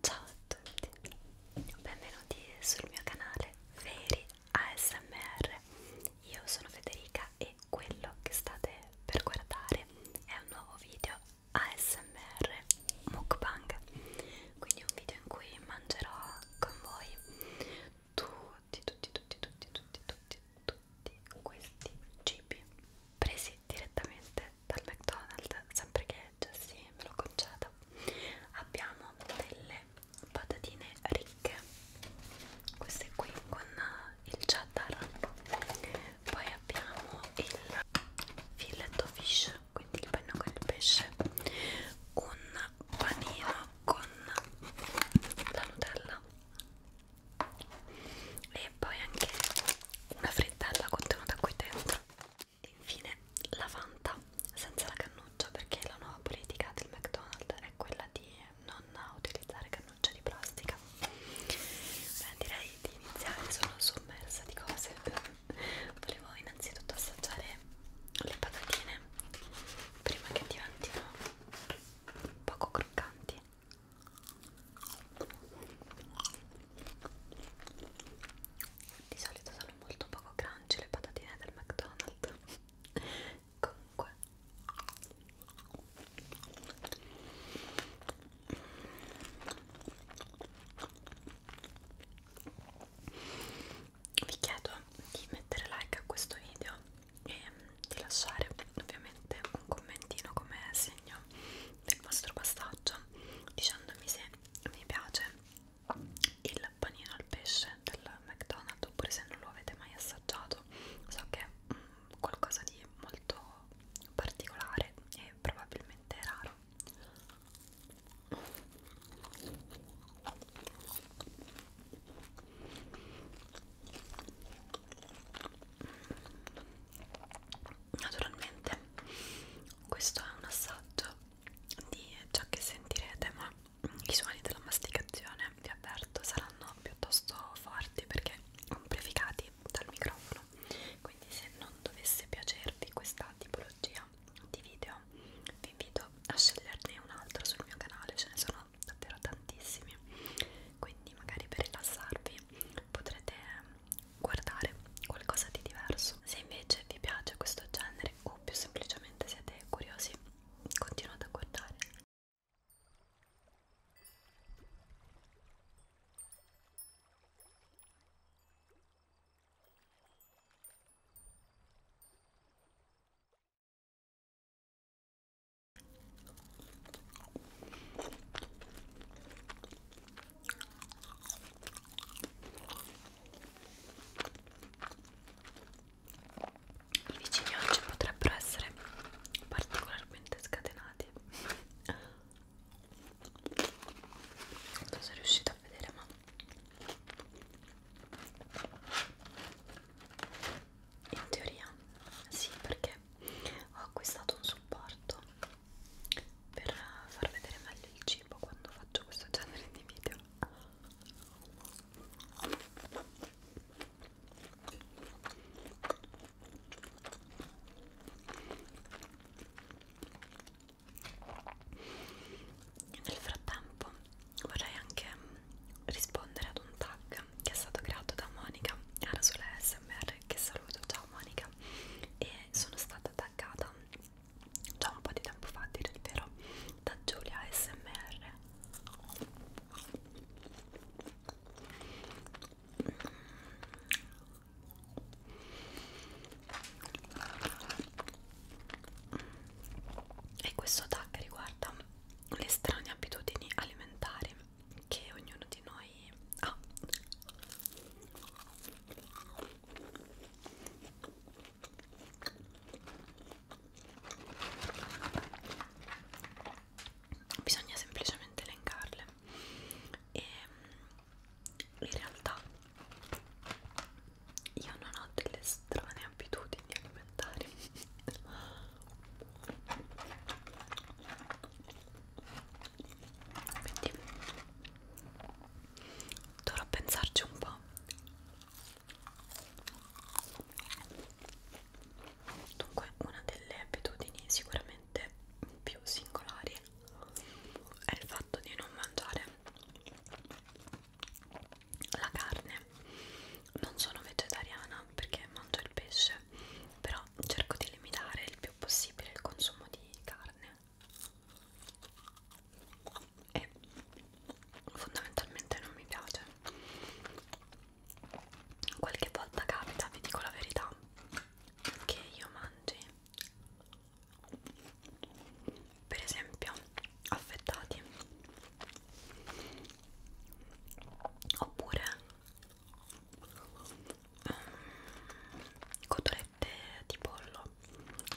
Ciao a tutti, benvenuti sul mio canale Veri ASMR. Io sono Federica e quello che state per guardare è un nuovo video ASMR mukbang, quindi un video in cui mangerò con voi tutti, tutti, tutti, tutti, tutti, tutti, tutti questi cibi presi direttamente dal McDonald's, sempre che Jessie me lo conceda, abbiamo delle patatine ricche, queste qui con eh, il cheddar, poi abbiamo il filetto fish, quindi il panino con il pesce, un panino con la Nutella e poi anche una frittella contenuta qui dentro Infine la Fanta senza la cannuccia perché la nuova politica del McDonald's è quella di non utilizzare cannuccia di plastica. Beh, direi di iniziare, sono sommersa di cose. Volevo innanzitutto assaggiare le patatine prima che diventino poco croccanti di solito sono molto poco crunchy le patatine del McDonald's comunque vi chiedo di mettere like a questo video e di lasciare ovviamente un commentino come segno del vostro passaggio dicendomi se mi piace il panino al pesce del McDonald's oppure se non lo avete mai assaggiato so che è mm, qualcosa di molto particolare e probabilmente raro naturalmente questo è un assaggio di ciò che sentirete ma i suoni della masticazione vi avverto saranno piuttosto forti perché amplificati dal microfono quindi se non dovesse piacervi questa tipologia di video vi invito a sceglierne un altro sul mio canale ce ne sono davvero tantissimi quindi magari per rilassarvi potrete guardare qualcosa di diverso. Se invece vi piace questo genere o più semplicemente siete curiosi, continuate a guardare. I vicini oggi potrebbero essere particolarmente scatenati. Non sono riuscita a vedere, ma in teoria sì, perché ho acquistato un supporto per far vedere meglio il cibo quando faccio questo genere di video nel frattempo vorrei anche rispondere ad un tag che è stato creato da Monica Arasole SMR che saluto, ciao Monica e sono stata stata taggata già un po' di tempo fa, a dire il vero, da Giulia SMR. E questo tag riguarda le strane abitudini alimentari che ognuno di noi poi ah. bisogna semplicemente elencarle e mm, in realtà io non ho delle strane abitudini alimentari quindi dovrò pensarci un po' dunque una delle abitudini sicuramente più singolari è il fatto di non mangiare la carne non sono vegetariana perché mangio il pesce però cerco di limitare il più possibile il consumo di carne e fondamentalmente non mi piace qualche volta capita vi dico la verità che io mangi per esempio affettati oppure Ehm, cotolette di pollo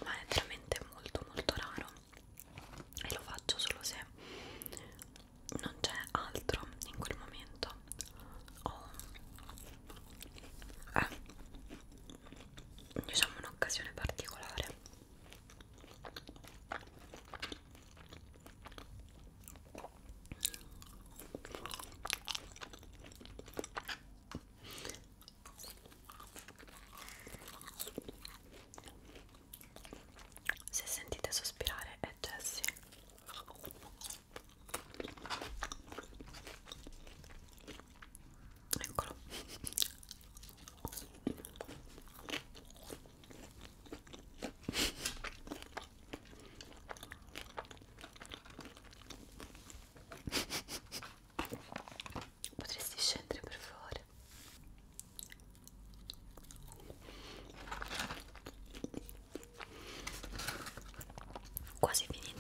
ma è veramente molto molto raro e lo faccio solo se non c'è altro in quel momento o è eh, diciamo un'occasione particolare se sentite sospirare è Jessie. Eccolo. Potresti scendere per favore? Quasi finite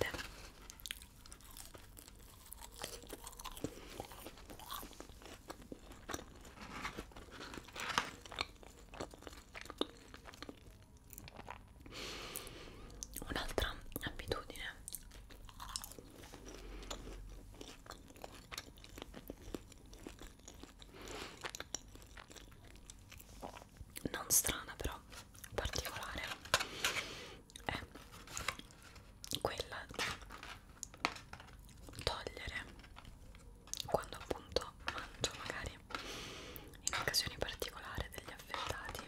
un'altra abitudine non strana però particolare è quella di togliere quando appunto mangio magari in occasioni particolari degli affettati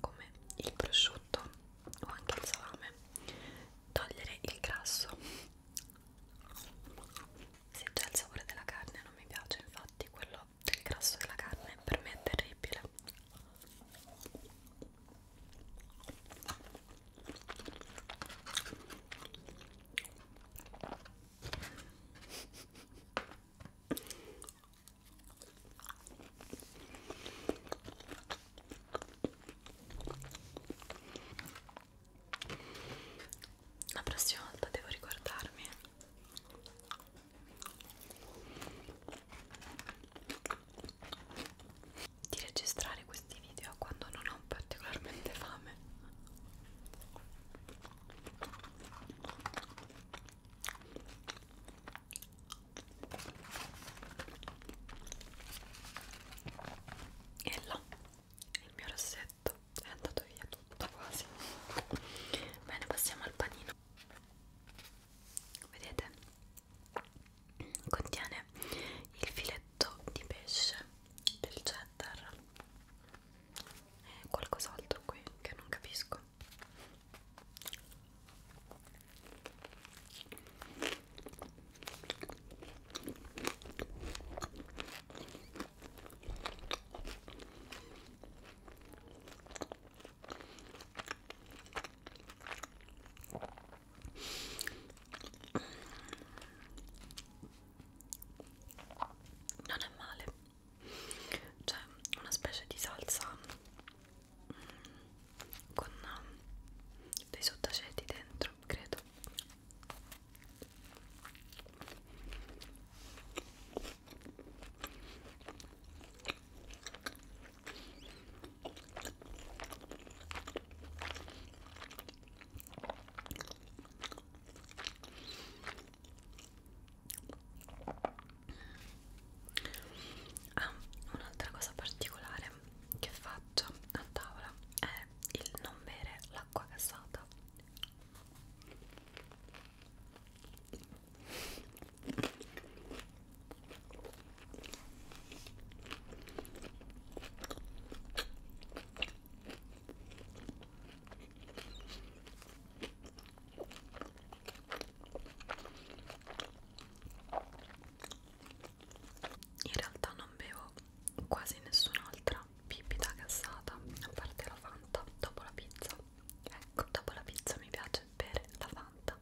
come il prosciutto o anche il salame togliere il grasso se già il sapore della carne non mi piace infatti quello del grasso della carne per me è terribile la prossima volta devo ricordarmi. Di registrare questi video quando non ho particolarmente fame e là il mio rossetto è andato via tutto quasi bene passiamo al panino vedete contiene il filetto di pesce del cheddar qualcos'altro qui che non capisco non è male c'è cioè, una specie di salsa mm, con uh, dei sottaceti dentro, credo Ah, un'altra cosa particolare che faccio a tavola è il non bere l'acqua gassata in realtà non bevo quasi nessun'altra bibita gassata a parte la Fanta dopo la pizza ecco dopo la pizza mi piace bere la Fanta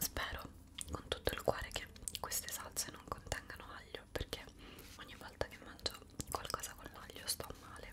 Spero con tutto il cuore che queste salse non contengano aglio perché ogni volta che mangio qualcosa con l'aglio sto male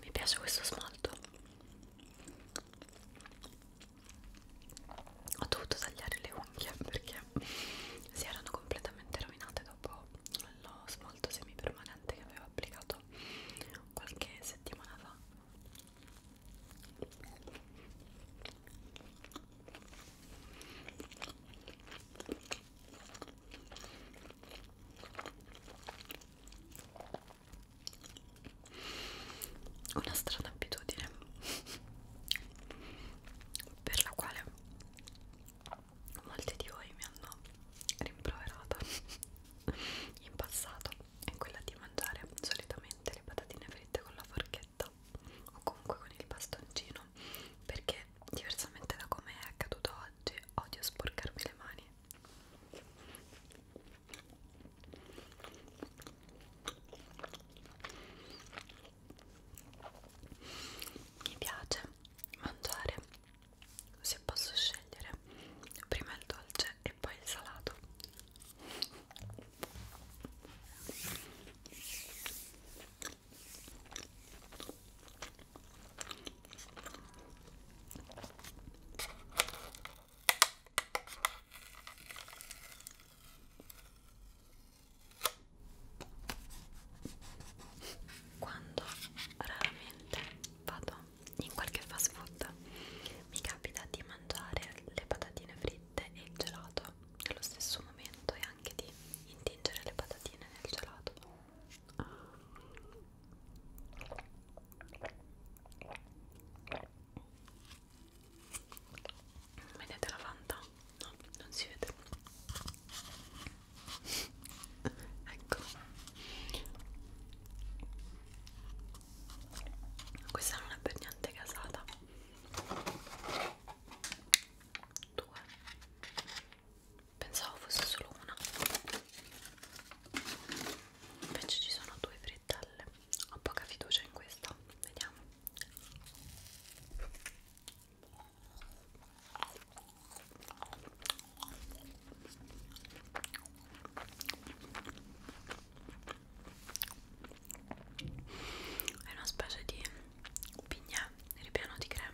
mi piace questo smalto ho dovuto tagliare le unghie perché si erano completamente rovinate dopo lo smalto semipermanente che avevo applicato qualche settimana fa una strana abitudine per la quale molti di voi mi hanno rimproverata in passato è quella di mangiare solitamente le patatine fritte con la forchetta o comunque con il bastoncino perché diversamente da come è accaduto oggi odio sporcarmi le mani mi piace mangiare se posso scegliere prima il dolce e poi il salato quando raramente vado in qualche fast food mi capita di mangiare le patatine fritte e il gelato gelato nello stesso momento e anche di intingere le patatine nel gelato vedete la fanta? no, non si vede ecco questa non è per niente casata due pensavo fosse solo una invece ci sono due frittelle ho poca fiducia in questa vediamo è una specie di pignè ripieno di crema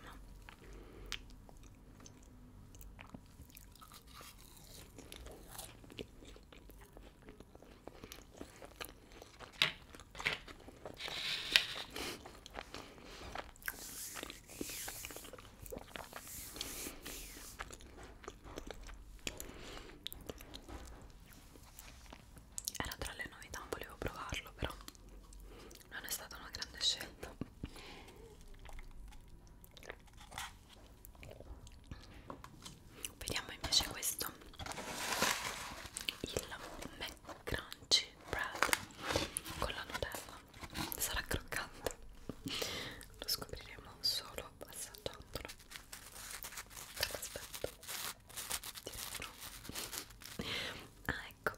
era tra le novità, volevo provarlo però non è stata una grande scelta vediamo invece questo il McCrunchy Bread con la Nutella sarà croccante lo scopriremo solo assaggiandolo aspetto di retro ah ecco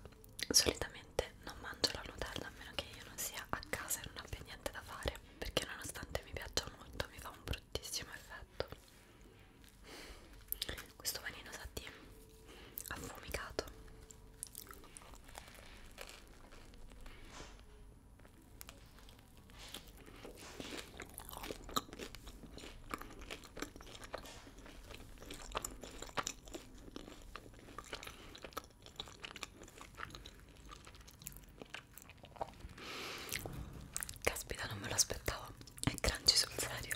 solitamente non mangio la nutella a meno che io non sia a casa e non abbia niente da fare perché nonostante mi piaccia molto mi fa un bruttissimo effetto questo panino sa di affumicato Caspita, non me lo aspettavo. È crunchy sul serio.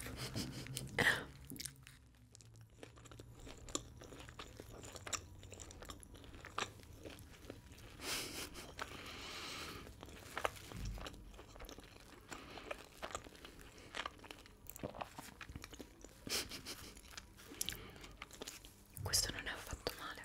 Questo non è affatto male.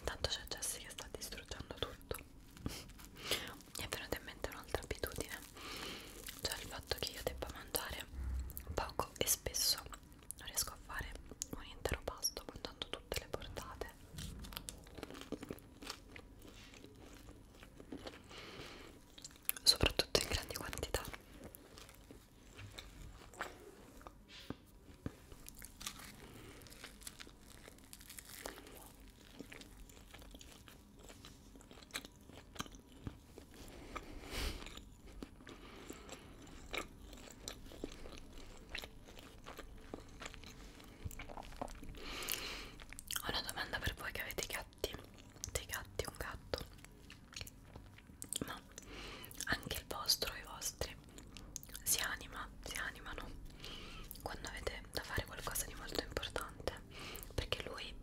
Intanto c'è Jessie che sta distruggendo tutto. Mi è venuta in mente un'altra abitudine, cioè il fatto che io debba mangiare poco e spesso non riesco a fare un intero pasto mangiando tutte le portate soprattutto in grandi quantità ho una domanda per voi che avete gatti, dei gatti, un gatto, ma anche il vostro, i vostri, si anima, si animano quando avete da fare qualcosa di molto importante, perché lui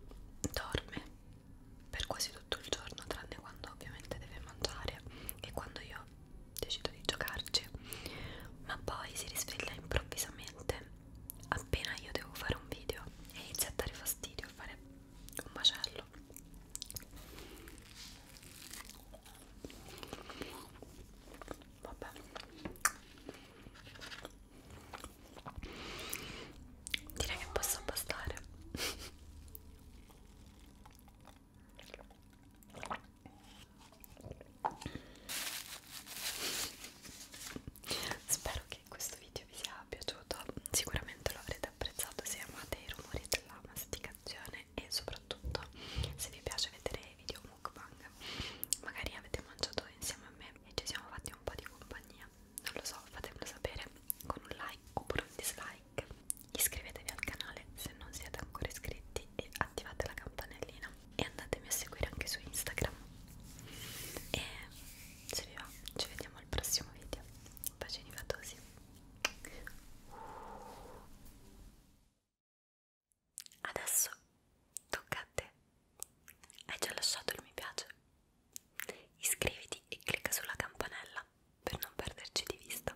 dorme per quasi tutto il giorno, tranne quando ovviamente deve mangiare e quando io decido di giocarci ma poi si risveglia improvvisamente appena io devo fare un video e inizia a dare fastidio a fare un macello vabbè direi che posso bastare Spero che questo video vi sia piaciuto, sicuramente lo avrete apprezzato se amate i rumori della masticazione e soprattutto se vi piace vedere i video mukbang. Magari avete mangiato insieme a me e ci siamo fatti un po' di compagnia. Non lo so, fatemelo sapere con un like oppure un dislike. Iscrivetevi al canale se non siete ancora iscritti e attivate la campanellina e andatemi a seguire anche su Instagram e se vi va ci vediamo al prossimo video bacini fatosi adesso tocca a te hai già lasciato il mi piace iscriviti e clicca sulla campanella per non perderci di vista